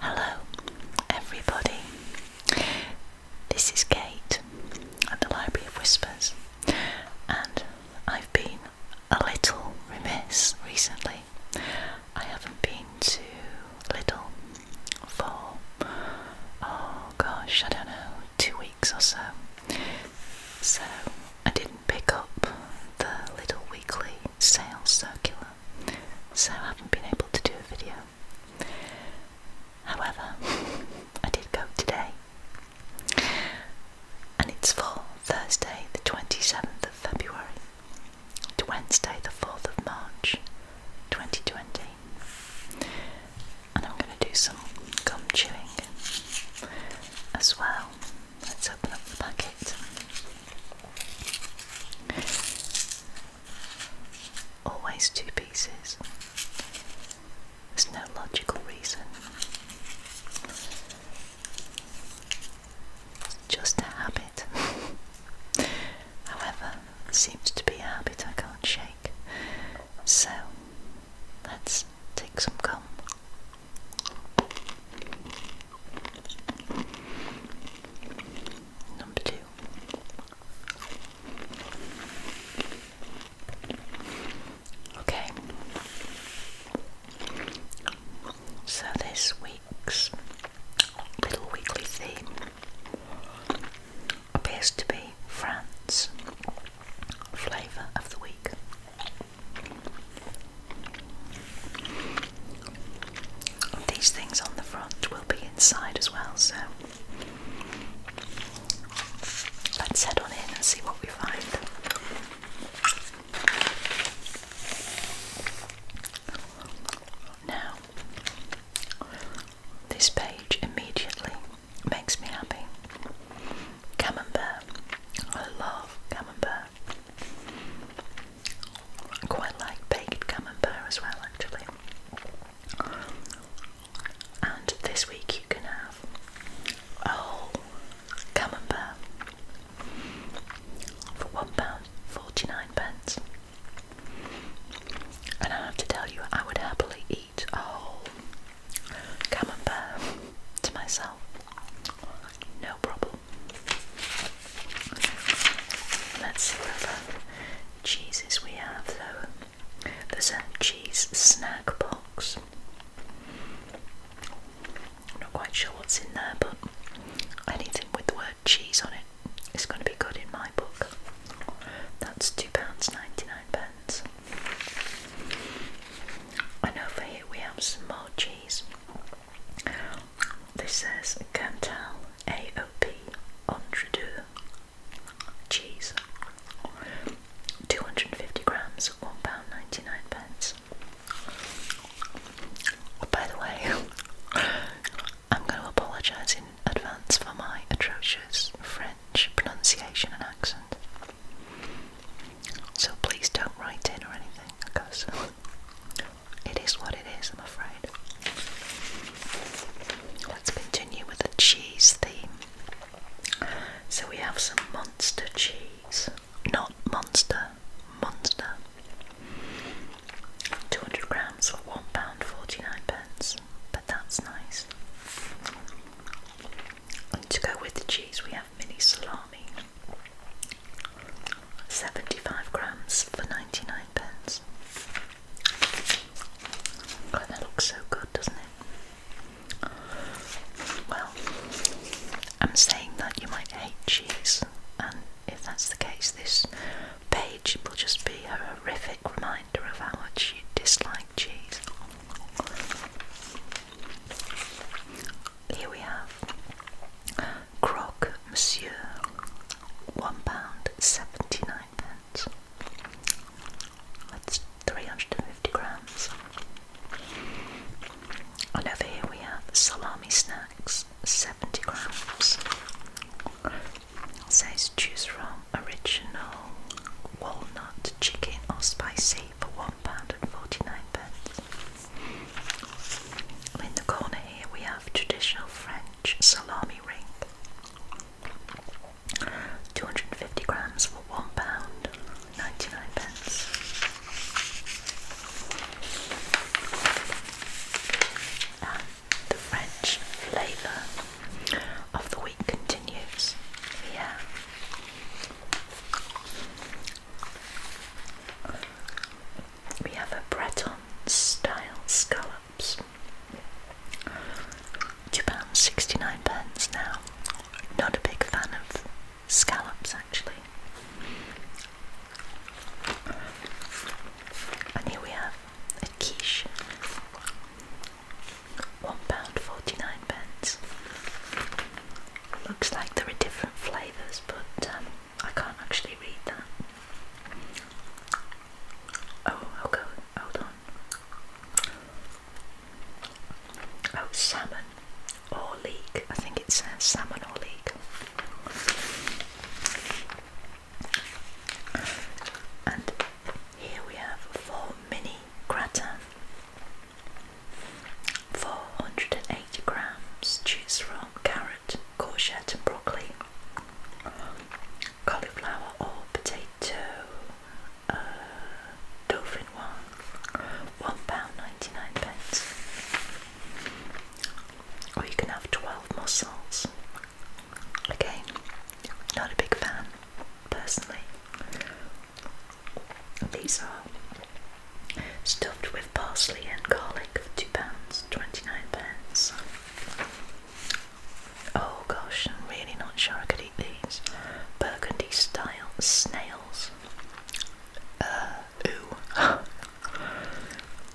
Hello, everybody. This is Kate at the Library of Whispers, and I've been a little remiss recently. I haven't been to Little for, oh gosh, I don't know, two weeks or so. So I didn't pick up the little weekly sales circular, so I haven't been able to do a video. However, I did go today, and it's for Thursday, the 27th of February, to Wednesday, the 4th of March 2020. And I'm going to do some gum chewing as well Let's open up the packet. Always two pieces. There's no logical reason. It's just a habit. However, it seems to be a habit I can't shake. So let's take some gum Number two. Okay. So this week's little weekly theme appears to be France Flavour of the Week. These things on the front will be inside as well, so let's head on in and see what we find. Now, this page immediately makes me happy. Camembert. I love camembert. I quite like baked camembert as well, actually. And this week you can have a whole camembert for £1.49 pence. And I have to tell you, I would happily eat a whole camembert to myself. No problem. Let's see what other cheeses we have though. There's a cheese snack box. I'm not quite sure what's in there, but anything with the word cheese on it is going to be good in my book. That's £2.99. And over here we have some more cheese. This says Cantal AOP Entre deux uh, cheese 250 grams, one pound ninety nine pence. Oh, by the way, I'm going to apologise in advance for my atrocious French pronunciation and accent. So please don't write in or anything because it is what it is, I'm afraid. Let's continue with the cheese theme. So we have some monster cheese. Not monster, monster. 200 grams for forty nine pence, but that's nice. to go with the cheese, we have mini salami. 75 grams for 99 pence. God, oh, that looks so good, doesn't it? Well, I'm saying that you might hate cheese, and if that's the case, this page will just be a horrific reminder of how much you dislike cheese here we have croc, Monsieur, one pound seventy nine pence. That's three hundred and fifty grams. And over here we have salami snacks, seventy grams. It says choose from original, walnut, chicken, or spicy. For one pound and forty-nine pence. In the corner here we have traditional French salami ring. 250 grams for £1.99. And the French flavour of the week continues. We we have a Breton style scallops. £2.69 pence now. Not a big fan of scallops actually. And here we have a quiche. £1.49 pence looks like there are different flavours, but um, I can't actually read that. Oh, I'll Hold on. Oh, salmon or leek. I think it's salmon or leek. And here we have four mini gratin. 480 grams. Choose from carrot, courgette, and broccoli, cauliflower, or potato. Uh, dolphin one, one pound ninety nine pence. Or you can have twelve mussels. Again, not a big fan personally. These are stuffed with parsley and garlic for two pounds twenty-nine pence. Oh gosh, I'm really not sure I could eat these. Burgundy style snails. Uh, ooh.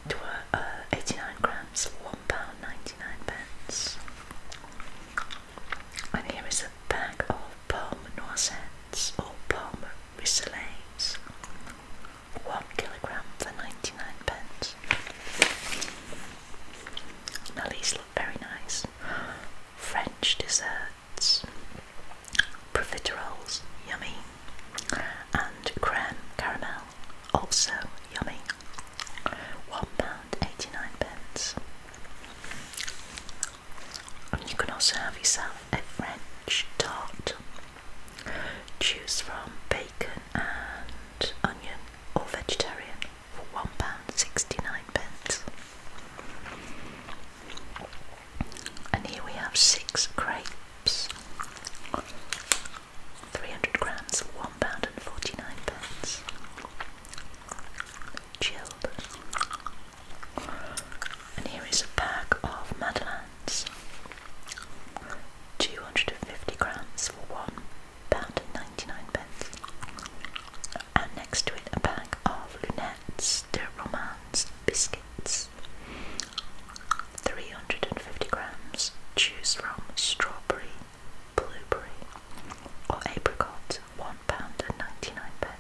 to, uh, uh, 89 grams, £1.99. And here is a bag of Palm Noisette Mints or Palmer Rissoles, 1 kilogram for 99 pence. Now these look very nice. French desserts, profiteroles, yummy, and creme caramel, also yummy. One pound eighty nine pence you can also have yourself a French tart. Choose from bacon and onion or vegetarian for £1.69. And here we have six grapes. 300 grams, £1.49. Chilled and here is a pack of Madeleines. 250 grams for one pound and 99 pence. And next to it a pack of lunettes de romance biscuits. 350 grams. Choose from strawberry, blueberry or apricot, One pound and ninety nine pence.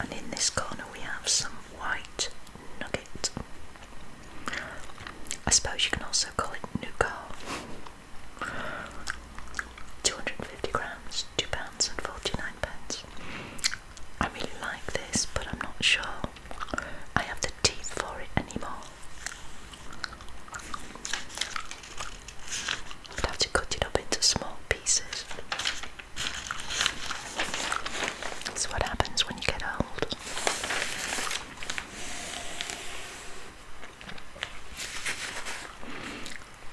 And in this corner we have some white nugget. I suppose you can also call it nougat. 250 grams, £2.49. I really like this, but I'm not sure I have the teeth for it anymore. I'd have to cut it up into small pieces. That's what happens when you get old.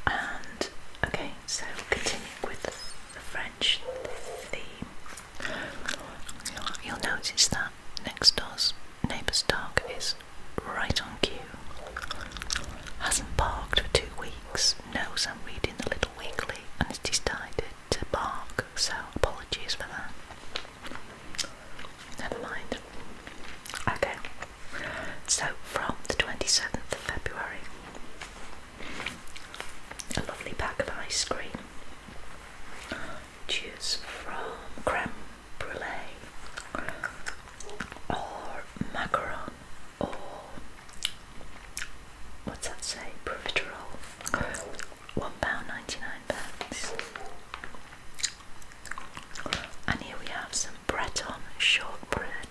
And okay, so continuing with the French theme, you'll notice that next door's neighbor's dog is right on cue. Hasn't parked for two weeks, knows I'm reading the Little Weekly and has decided to bark, so apologies for that. Never mind. Okay, so from the 27th of February, a lovely pack of ice cream. Cheers from Creme brulee or macaron or what's that say? Profiterole. One pound ninety nine pence. And here we have some Breton shortbread.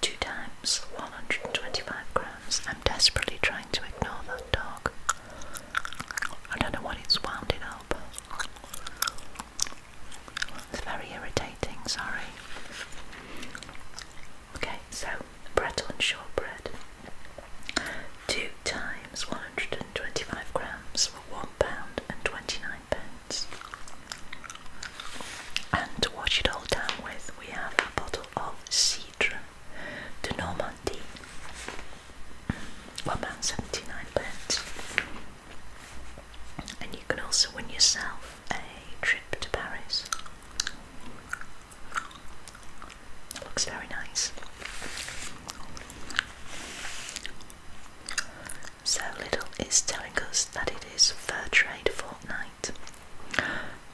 Two times 125 grams. I'm desperately trying to ignore that dog. I don't know what it's wound up. It's very irritating, sorry. Okay, so and shortbread. Two times 125 grams for one pound And twenty-nine pence. And to wash it all down with, we have a bottle of Cidre de Normandie. pence. And you can also win yourself a trip to Paris. looks very nice. So Little is telling us that it is Fair Trade Fortnight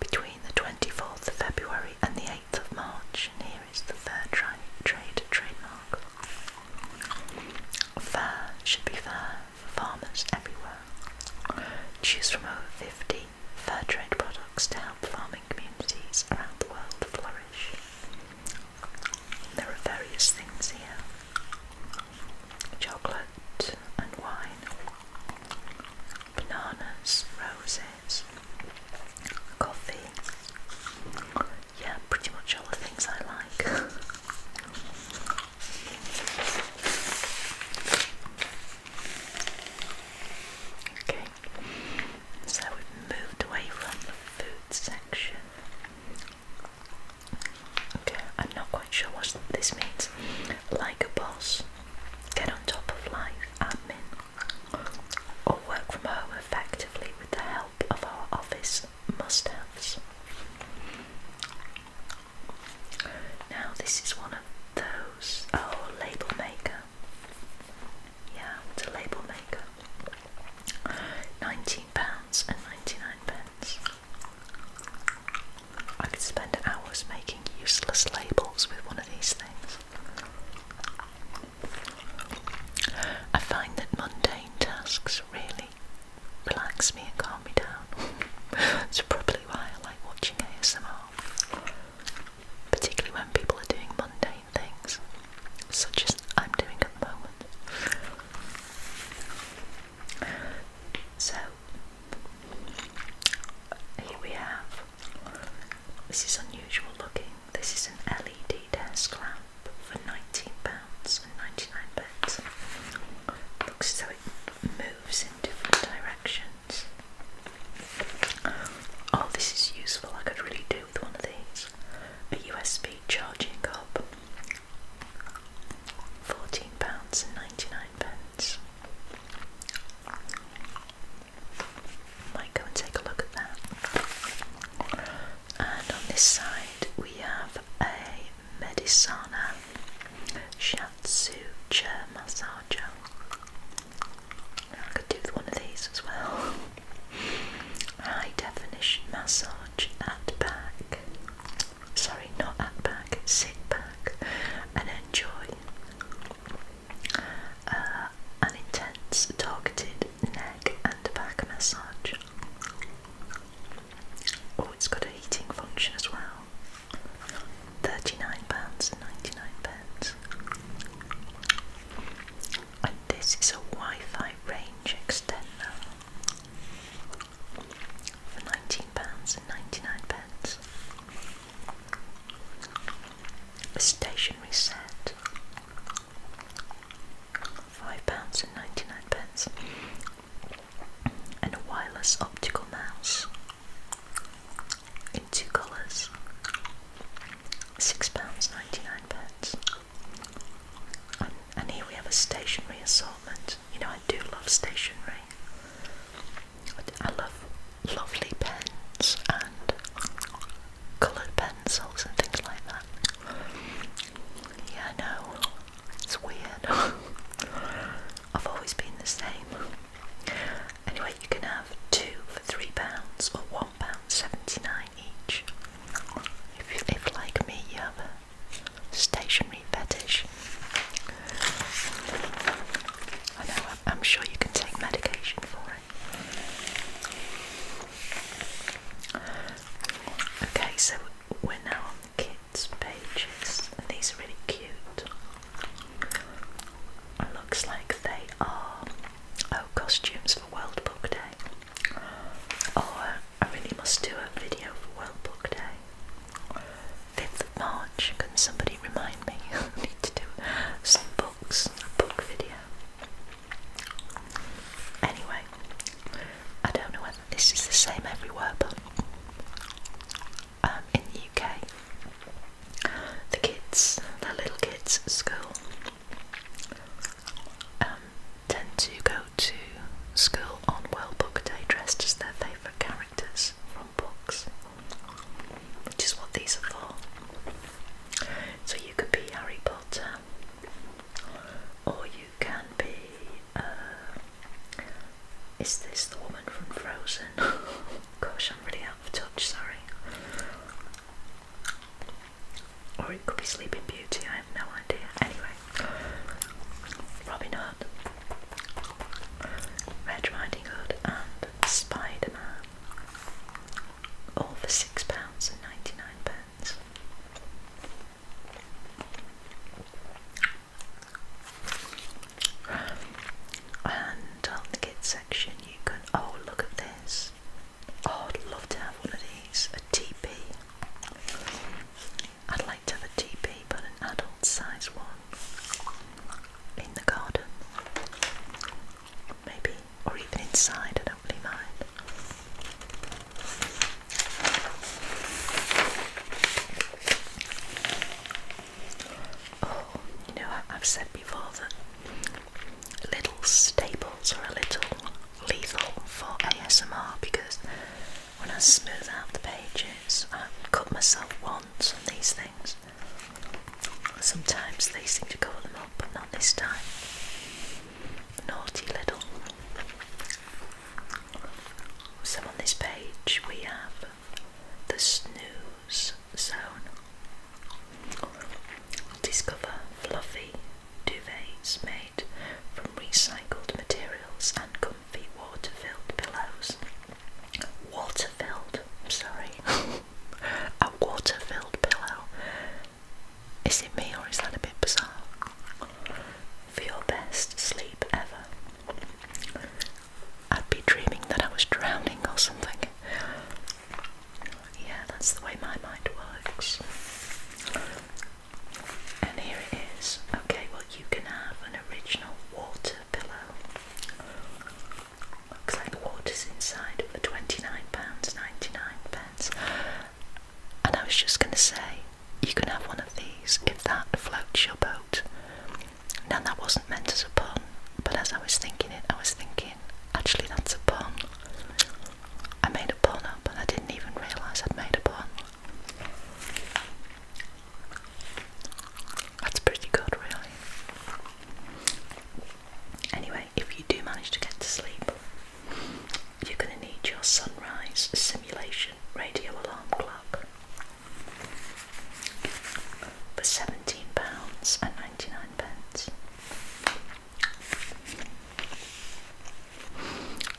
between the 24th of February and the 8th of March. And here is the Fair Trade trademark. Fair should be fair for farmers everywhere. Choose from over 50 fair trade products to help farming communities around the world flourish. There are various things here chocolate and wine, bananas, roses, coffee, yeah, pretty much all the things I like. Okay, so we've moved away from the food section. Okay, I'm not quite sure what this means. Like a boss, get on top of life admin, or work from home effectively with the help of our office must haves. Now, this is one of those. Oh, label maker. Yeah, it's a label maker. £19 and 99 pence. I could spend hours making useless labels with one of these things. I find that mundane tasks really relax me and calm me down. It's probably why I like watching ASMR, particularly when people are doing mundane things, such as I'm doing at the moment. So, here we have. This is unusual looking. This is an LED desk lamp for £19.99. Looks as it moves in different directions. Oh, this is useful. I could really do with one of these. A USB charging hub. £14.99. Might go and take a look at that and on this side we have a Medisana Shatsu chair massager. I could do with one of these as well. High definition massage at back. Sorry, not at back, sit back and enjoy. Uh, an intense targeted neck and back massage. Oh, it's got a heating function as well. £39.99. And this is a Wi Fi range extender for £19.99. A stationary set five pounds and ninety-nine pence, and a wireless optical mouse in two colours, six pounds ninety-nine pence. And, here we have a stationery assortment. You know, I do love stationery. I love lovely pens and coloured pencils and things like that. Yeah, I know. It's weird. I've always been the same. Anyway, you can have two for three pounds or one pound seventy nine each. If, if like me, you have a stationary fetish. I know. I'm sure you can take medication for it. Okay, so we're now on the kids' pages, and these are really cute. looks like they are oh costumes for World Book Day. Oh, I really must do a video for World Book Day. 5th of March, can somebody remind me? I need to do some books, a book video. Anyway, I don't know whether this is the same everywhere, but um, in the UK, the kids, the little kids at school, um, tend to go to school on World Book Day dressed as their favourite characters from books, which is what these are for. So you could be Harry Potter or you can be. Uh, is this the woman from Frozen? Gosh, I'm really out of touch, sorry. Or it could be Sleeping Beauty, I have no idea. Anyway, Robin Hood, Red Riding Hood, and Spider Man. All for £6.99. and and on the kids section, you can. Oh, look at this! Oh, I'd love to have one of these. A TP. I'd like to have a TP, but an adult size one in the garden. Maybe, or even inside, I don't really mind. Oh, you know, I've said before that little staples are a little lethal for ASMR because when I smooth out the pages, I cut myself once on these things. Sometimes they seem to cover them up, but not this time. Naughty little so on this page we have the snooze zone. Discover fluffy duvets made from recycled materials and comfy water-filled pillows. Water-filled, sorry. A water-filled pillow is it me or is that a bit bizarre? For your best sleep ever. I'd be dreaming that I was drowning or something. Yeah, that's the way my mind works. And here it is. Okay, well, you can have an original water pillow. Looks like water's inside for £29.99. pence. And I was just going to say, you can have one of these if that floats your boat. Now, that wasn't meant as a pun, but as I was thinking it, I was thinking, actually, that's a pun. I made a pun up, and I didn't even realise I'd made a pun. That's pretty good, really. Anyway, if you do manage to get to sleep, you're going to need your sunrise simulation radio alarm clock for £17.99.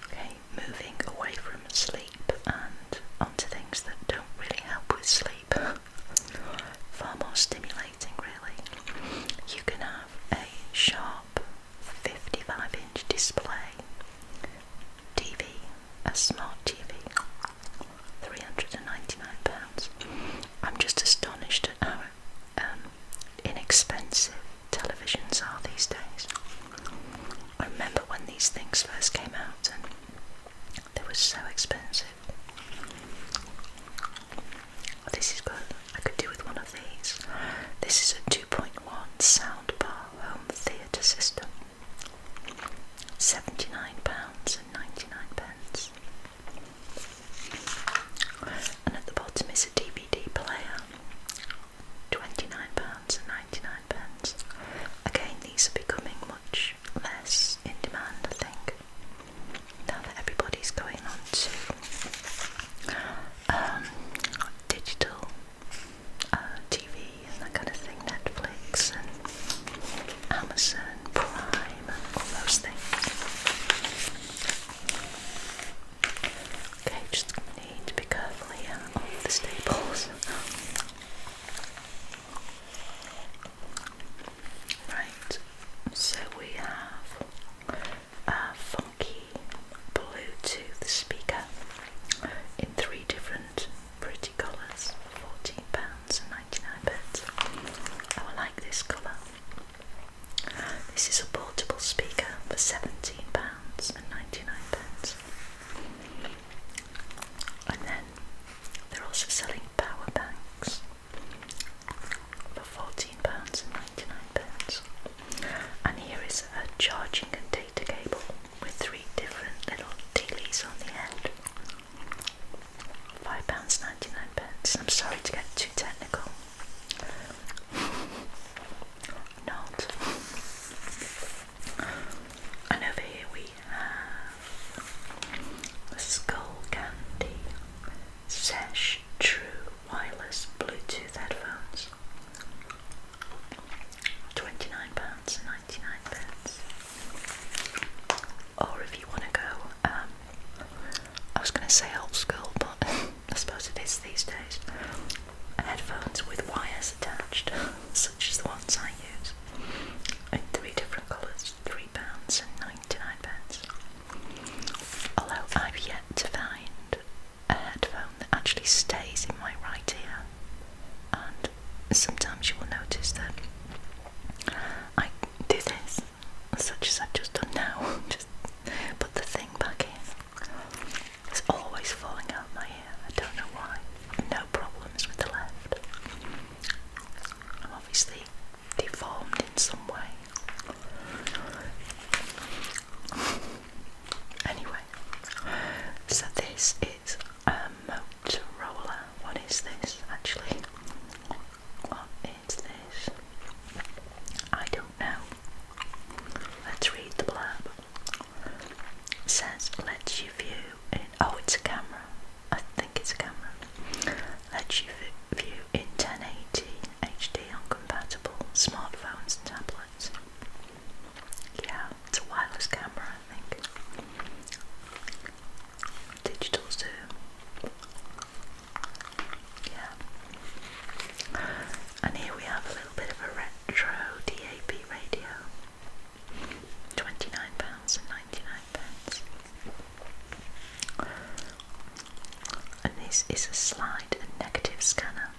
Okay, moving away from sleep and onto things that don't really help with sleep. Far more stimulating, really. You can have a sharp 55 inch display, TV, a smart TV, £399. I'm just astonished at how um, inexpensive televisions are these days. I remember when these things first came out and they were so expensive. This is good. I could do with one of these. This is a 2.1 soundbar home theatre system. £79.99. And at the bottom is a DVD player. £29.99. Again, these are becoming much less in demand, I think, now that everybody's going on to um, digital uh, TV and that kind of thing, Netflix and Amazon Prime all those things. Okay, just need to be careful here of the staples. Right, so we have a funky Bluetooth speaker in three different pretty colours for £14.99. I like this colour. This is a portable speaker for £17.99. And then they're also selling power banks for £14.99. And here is a charging and data cable with three different little tealies on the end. £5.99. Pence. I'm sorry to get too technical. Not. And over here we have Skull Candy Sesh True wireless Bluetooth headphones. £29.99. and Or if you want to go, um, I was going to say old school, but I suppose it is these days. Headphones with wires attached, such as the ones I use, in three different colours, £3.99. and Although I've yet to find a headphone that actually stays in my right ear, and sometimes you will notice that I do this, such as I've just done now, just put the thing back in. It's always falling out my ear, I don't know why. No problems with the left. I'm obviously deformed in some way. Anyway, so this is a Motorola. What is this actually? What is this? I don't know. Let's read the blurb. Says, "Let's you view in. Oh, it's a camera. I think it's a camera. Lets you view in 1080 HDL compatible smartphones and tablets. Yeah, it's a wireless camera, I think. Digital zoom. Yeah. And here we have a little bit of a retro DAB radio. £29.99. And this is a slide and negative scanner.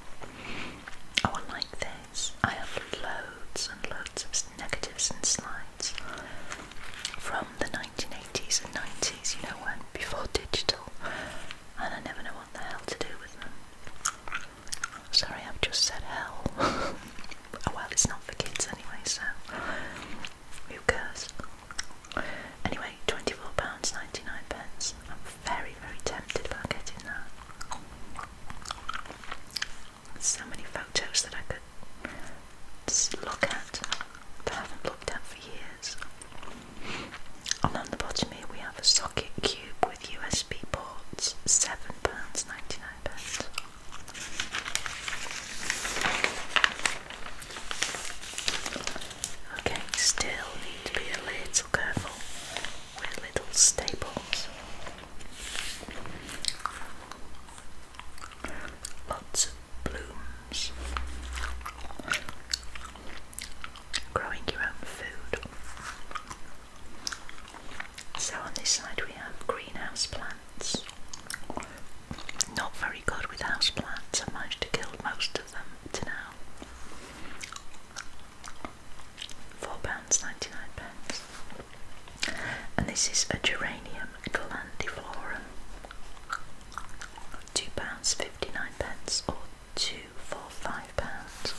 Oh, I like this. I have loads and loads of negatives and slides from the 1980s and 90s, you know, when before digital, and I never know what the hell to do with them. Sorry, I've just said hell. oh, well, it's not for kids anyway, so who cares? Anyway, £24.99 and very, very tempted about getting that. So many photos that I could look at that I haven't looked at for years. And on the bottom here we have a socket cube with USB ports, £7.99. Okay, still to be a little careful with little staples. Lots of blooms. Growing your own food. So on this side we have greenhouse plants. Not very good with house plants. I managed to kill most of them to now. £4.99. And this is a geranium glandiflorum. £2.59 pence, or two for five pounds.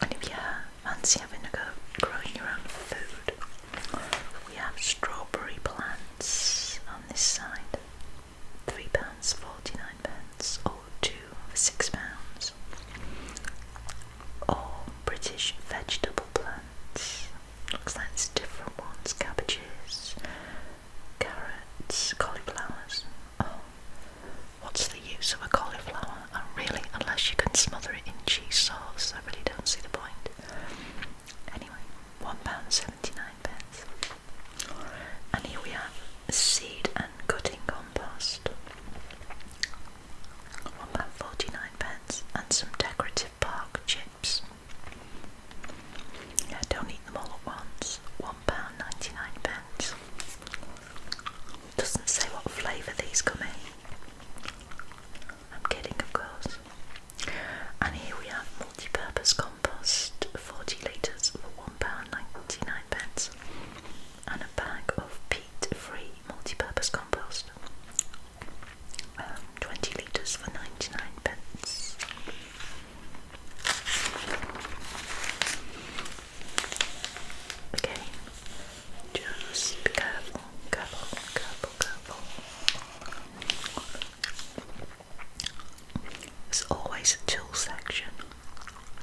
And if you fancy having a go growing your own food, we have strawberry plants on this side three pounds forty nine pence or two for six pounds. Or British vegetable plants. Looks like there's different ones, cabbages, carrots, cauliflowers. Oh what's the use of a cauliflower? really unless you can smother it in cheese sauce, I really don't see the point. Anyway, one pound seventy nine pence. And here we have seed and cutting compost. One pound forty-nine pence and some decorative bark chips. don't eat them all at once. One pound ninety-nine pence. Doesn't say what flavour these come in. I'm kidding, of course. And here we have multi-purpose compost, forty litres for pound ninety-nine pence, and a bag of peat-free multi-purpose compost. Um, 20 litres for 99 pence. Okay, just be careful, careful, careful, careful. There's always a tool section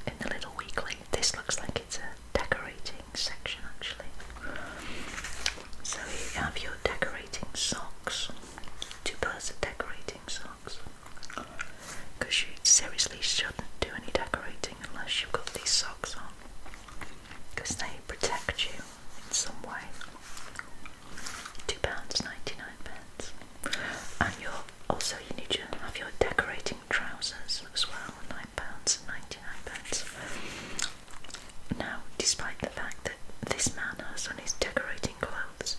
in the little weekly. This looks like it's a decorating section actually. So you have your decorating socks. Two pairs of decorating socks. Because you seriously shouldn't do any decorating unless you've got these socks on. Because they protect you in some way two pounds ninety nine pence. And your also you need to have your decorating trousers as well, nine pounds ninety nine pence. Now, despite the fact that this man has on his decorating clothes,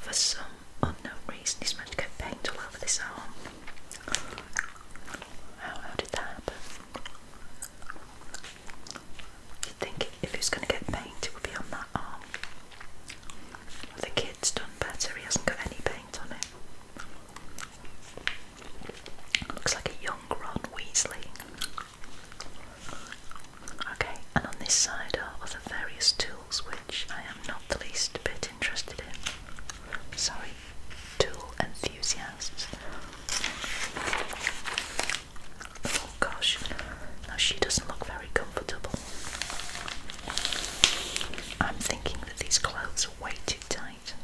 for some unknown reason he's managed to get paint all over this arm. How, how did that happen? You'd think if he was going to get paint, it would be on that arm. The kid's done better, he hasn't got any paint on it. Looks like a young Ron Weasley. Okay, and on this side are other various tools which I am not the least bit interested in. Sorry, tool enthusiasts. Oh gosh, now she doesn't look very comfortable. I'm thinking that these clothes are way too tight.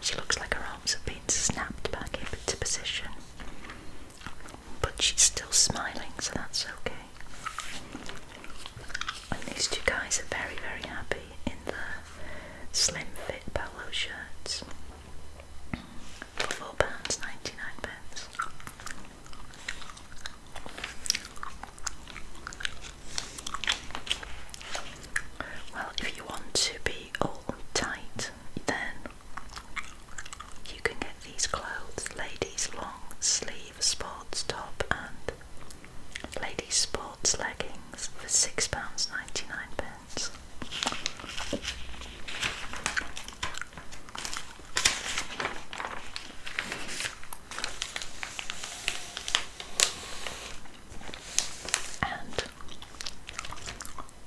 She looks like her arms have been snapped back into position. But she's still smiling, so that's okay. And these two guys are very, very happy in their slim fit polo shirts for £4.99. Well, if you want to be all tight, then you can get these clothes ladies' long sleeve sports top and ladies' sports leggings for £6.99. And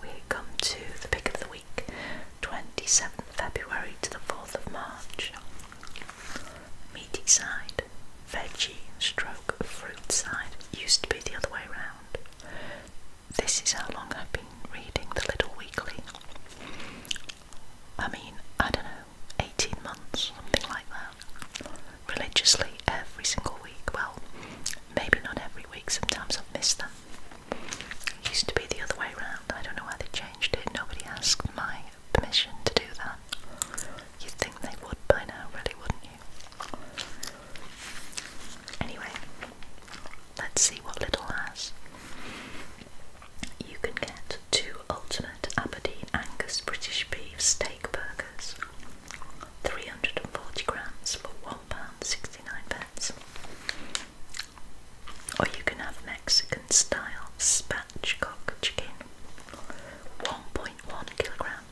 we come to the pick of the week, 27th February to the 4th of March. Meaty side, veggie stroke fruit side, used to be the other way around this is how long I've been reading the Little Weekly. I mean, I don't know, 18 months, something like that. Religiously every single week. Well, maybe not every week, sometimes i miss them. It used to be the other way around. I don't know why they changed it. Nobody asked my permission to do that. You'd think they would by now, really, wouldn't you? Anyway, Let's see what Little has. You can get two Ultimate Aberdeen Angus British Beef Steak Burgers, 340 grams for one pound sixty nine pence. Or you can have Mexican style spatchcock chicken, 1.1 kilogram,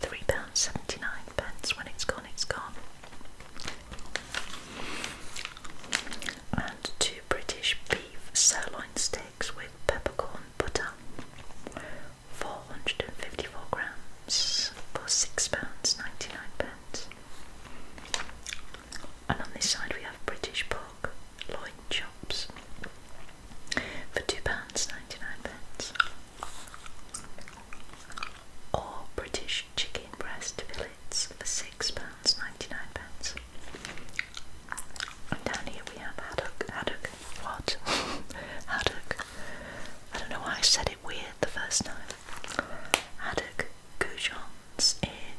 £3.79. When it's gone, it's gone and two British beef sirloin steaks with peppercorn butter, 454 grams for £6.99. pence. And on this side we have British pork loin chops for £2.99. pence, Or British chicken breast fillet plates for £6.99. And down here we have haddock. Haddock? What? haddock. I don't know why I said it weird the first time. Haddock goujons in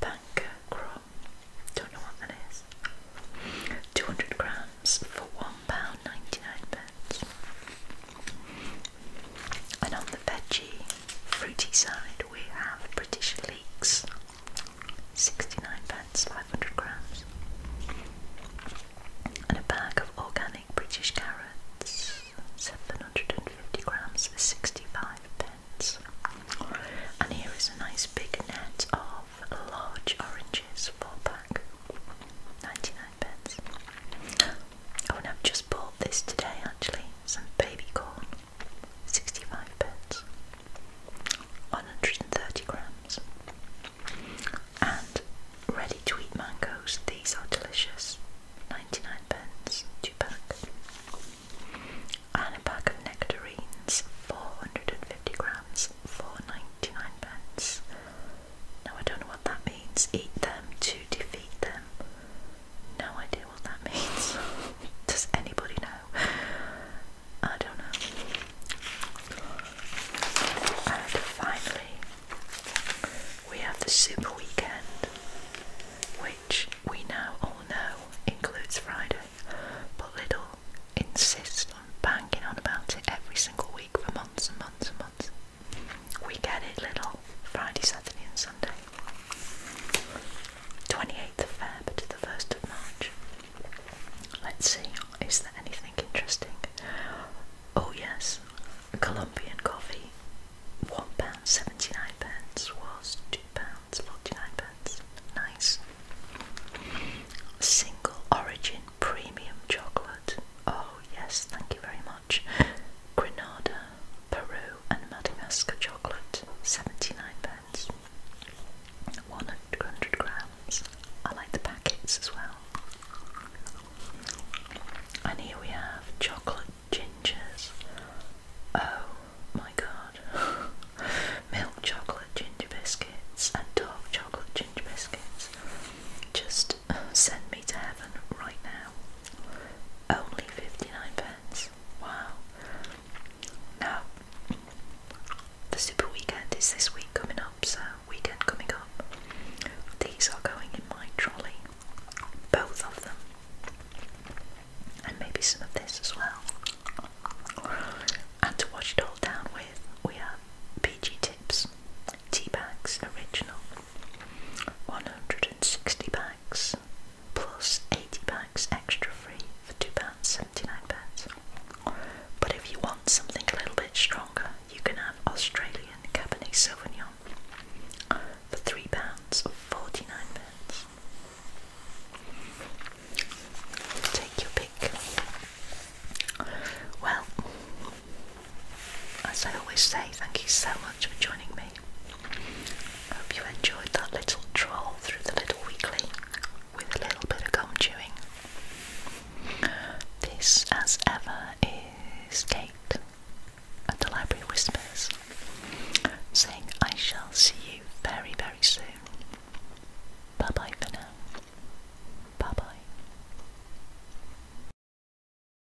Bancroft. Don't know what that is. 200 grams for one pound ninety nine £1.99. And on the veggie, fruity side, we have British leeks, 69 pence, 500 grams, and a bag of organic British carrots, 750 grams 65 pence. And here is a nice big net of large oranges, 4 pack, 99 happens. Oh, and I've just bought this today actually some baby corn, 65 pence, 130 grams, and ready to eat mangoes. These are delicious, 99 pence, two pack, and a pack of nectarines, 450 grams, 4.99 pence. Now I don't know what that means. Eat them to defeat them. No idea what that means. Does anybody know? I don't know. And finally, we have the Super Weekend, which we now all know includes Friday, but little insists on banging on about it every single week for months and months and months. We get it little Friday, Saturday and Sunday. 28th of February to the 1st of March. Let's see, is there anything interesting? Oh yes, Colombian coffee. One pound seventy-nine pence was two pounds forty-nine pence. Nice. Single origin premium chocolate. Oh yes, thank you very much. March. Peru, and Madagascar chocolate, 79 pence. 100 grams. I like the packets as well. And here we have chocolate gingers. Oh my god. Milk chocolate ginger biscuits and dark chocolate ginger biscuits. Just send me to heaven right now. Only 59 pence. Wow. Now, the super weekend is this week coming up, so weekend coming up. These are going in my trolley, both of them, and maybe some of this as well. And to wash it all down with, we have PG Tips Tea Bags Original 160 packs plus 80 packs extra free for £2.79. But if you want something a little bit stronger, you can have Australian Cabernet Sauvignon for £3.49. pence. Take your pick. Well, as I always say, thank you so much for joining me. I hope you enjoyed that little stroll through the little weekly with a little bit of gum chewing. This, as ever, is Kate at the Library Whispers saying, I shall see you very, very soon. Bye bye for now. Bye bye.